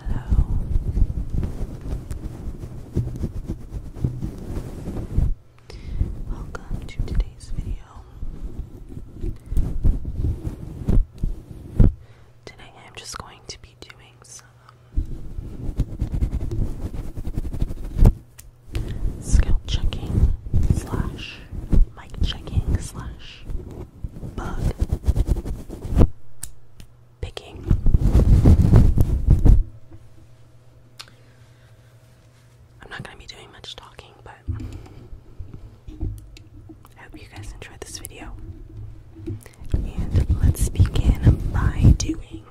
Hello. Welcome to today's video. Today I'm just going to be doing some scalp checking slash mic checking slash bug picking. I'm not going to be doing much talking, but I hope you guys enjoyed this video. And let's begin by doing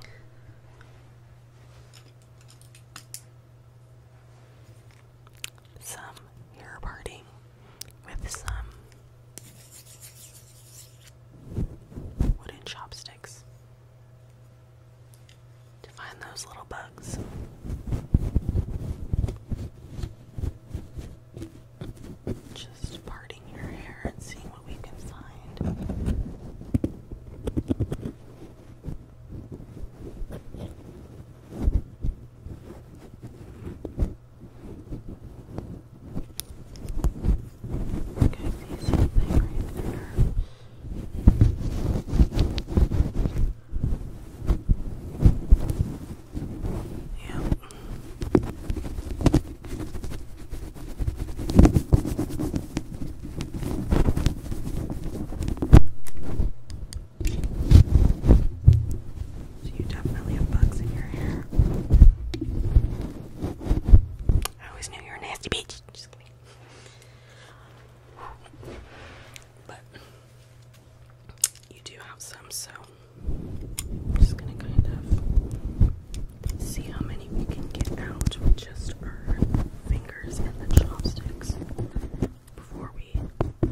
some hair parting with some wooden chopsticks to find those little bugs. Just parting your hair and seeing what we can find. Okay, I see something right there. Yeah. So you definitely have bugs in your hair. I always knew you were a nasty bitch. But you do have some, so I'm just gonna kind of see how many we can get out with just our fingers and the chopsticks before we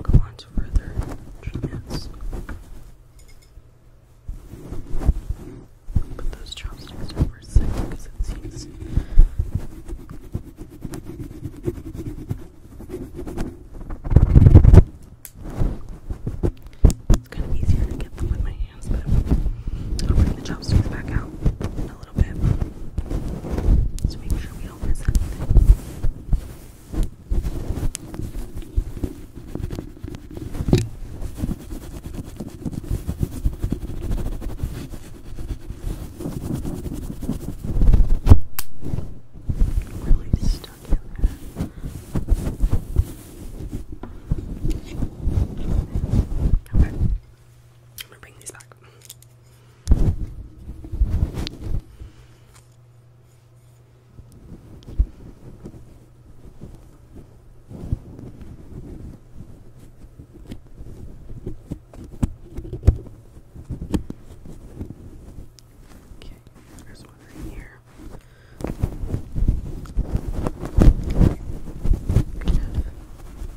go on to further treatments. But those chopsticks are for because it's easier to get them with my hands, but I'll bring the chopsticks back out in a little bit to make sure we don't miss anything. Really stuck in there. Okay. I'm gonna bring these back. Okay, there's one right here. Okay. Kind of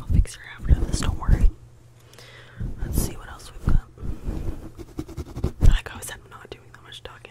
I'll fix your after this, don't worry. Let's see what else we've got. Like I said, I'm not doing that much talking.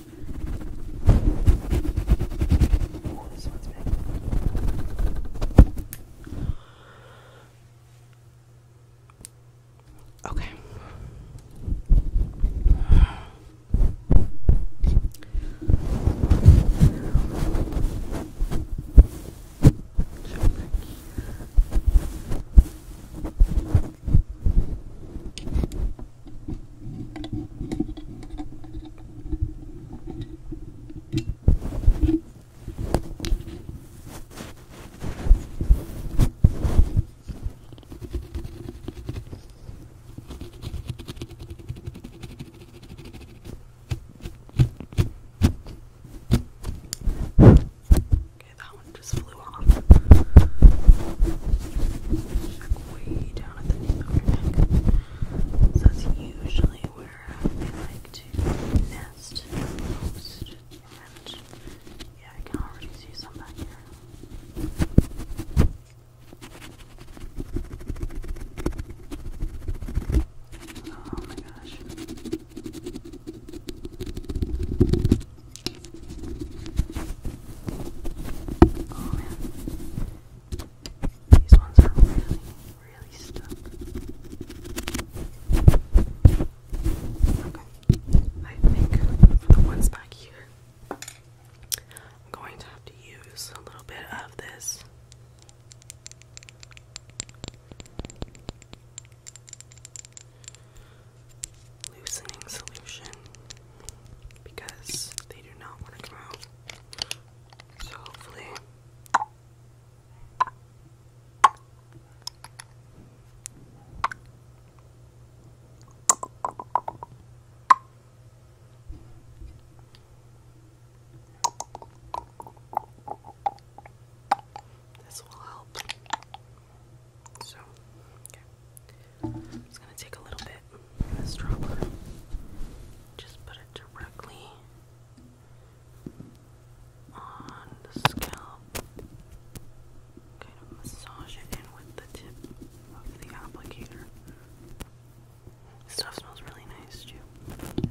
Oh, this one's big. Okay. Okay, that one just flew off way down at the nape that's usually where I like to nest most. And yeah, I can already see some back here. Oh my gosh. Oh man. These ones are really, really stuck. Okay. I think the ones back here, I'm going to have to use a little bit of this. Loosening solution because they do not want to come out. So hopefully. This will help. So, okay. I'm just gonna take a little bit of this dropper, just put it directly on the scalp. Kind of massage it in with the tip of the applicator. This stuff smells really nice too.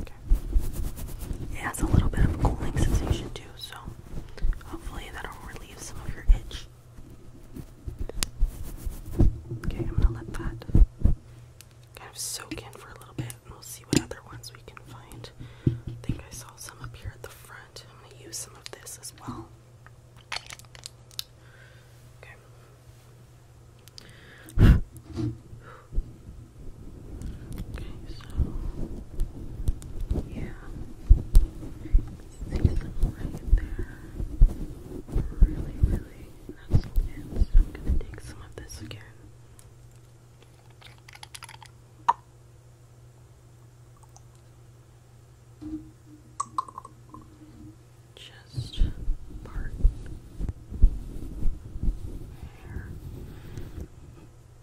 Okay. It has a little bit of a cooling sensation too. So hopefully that'll relieve some of your itch. Okay, I'm gonna let that kind of soak in for a little bit and we'll see what other ones we can find. think I saw some up here at the front. I'm gonna use some of this as well. Okay. Okay, so yeah, see some right there. Really, really nestled I'm gonna take some of this again. Just part here.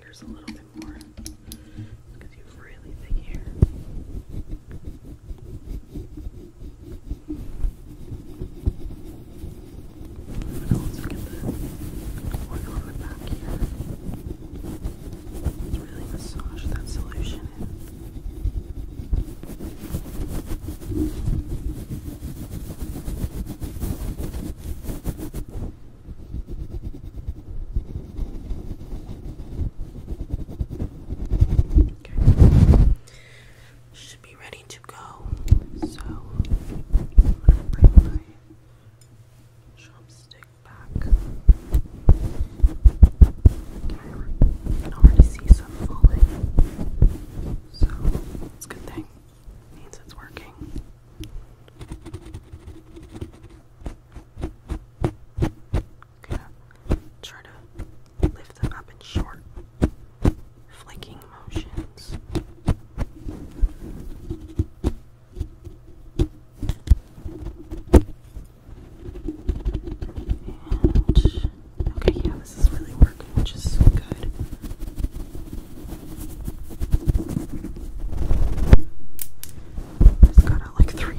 fingers a little bit more because you have really thick hair. I'm gonna also get the one on the back here. Let's really massage that solution in. Good. Okay. Should be ready to go. So I'm gonna bring my chopstick back. can already see some falling. So it's good thing means it's working. going try to lift them up in short flaking motions. And okay, yeah, this is really working which is so good. It's got uh, like three.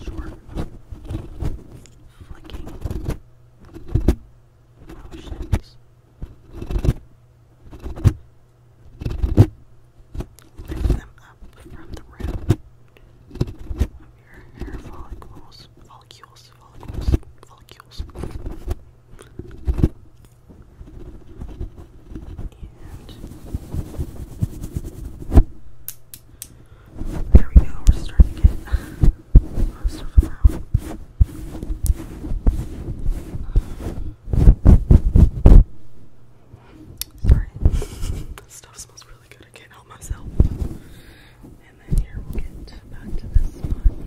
Short flicking motions. Hair, hair follicles, follicles, follicles, follicles. there we go, we're starting to get most of Sorry, this stuff smells really really good. I can't help myself. And then here we'll get back to this one.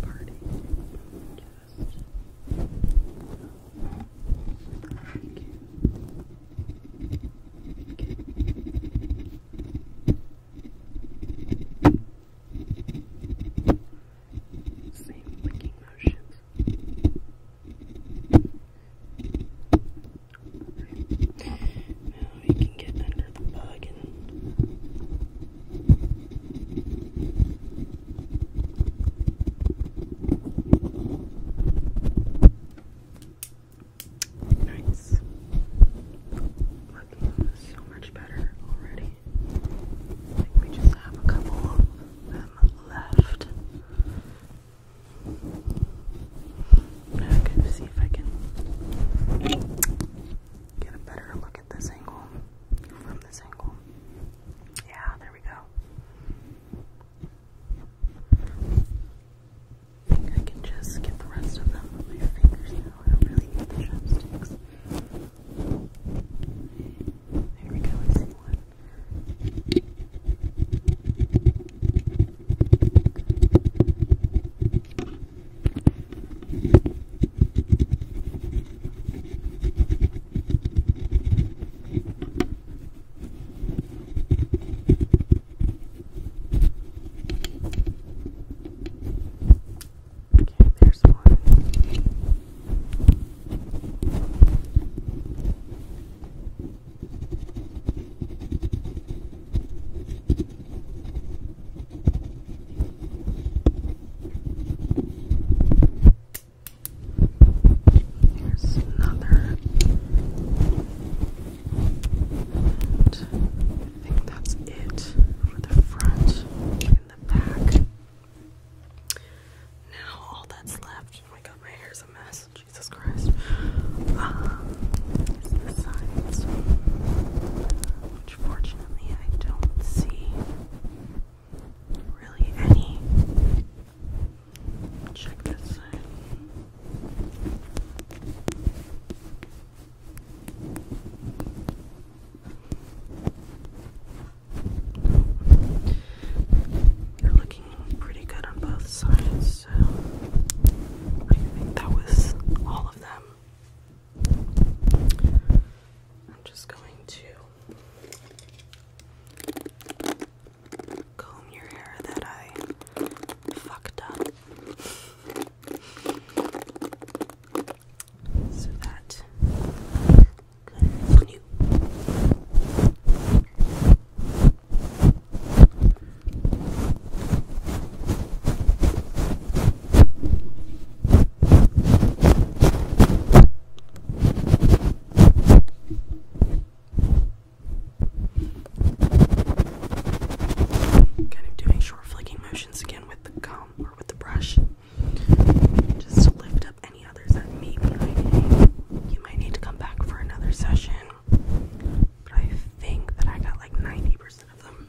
Party. Just. Thank Okay. Same licking motion. Now we can get under the bug nice. Looking so much better already. I think we just have a couple of them left. Now see if I can get a better look at this angle from this angle. Yeah, there we go. I think I can just get the rest of them with my fingers now. I don't really need the chopsticks. There we go, I see one. Okay, there's one. Here's another. I think that's it for the front and the back. Now all that's left. Oh my god, my hair is a mess. Jesus Christ. Um, which fortunately I don't see really any. Check this side. You're looking pretty good on both sides, so I think that was all of them. I'm just going to comb your hair that I fucked up so that you Kind of doing short flicking motions again with the gum or with the brush just lift up any others that may You might need to come back for another session, but I think that I got like 90% of them.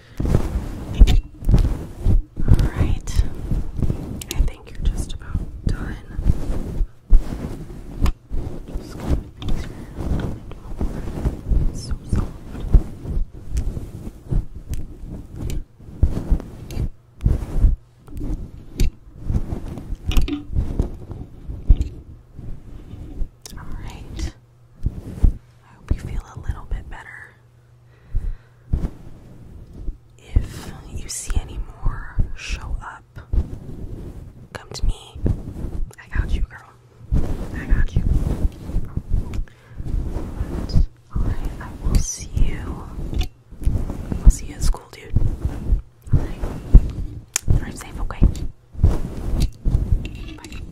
Alright, I think you're just about done. it's so soft. Alright, I hope you feel a little bit better. If you see any more show up, come to me. I got you, girl. I got you. alright, I will see you. I'll see you at school, dude. Alright. Drive safe, okay? Bye.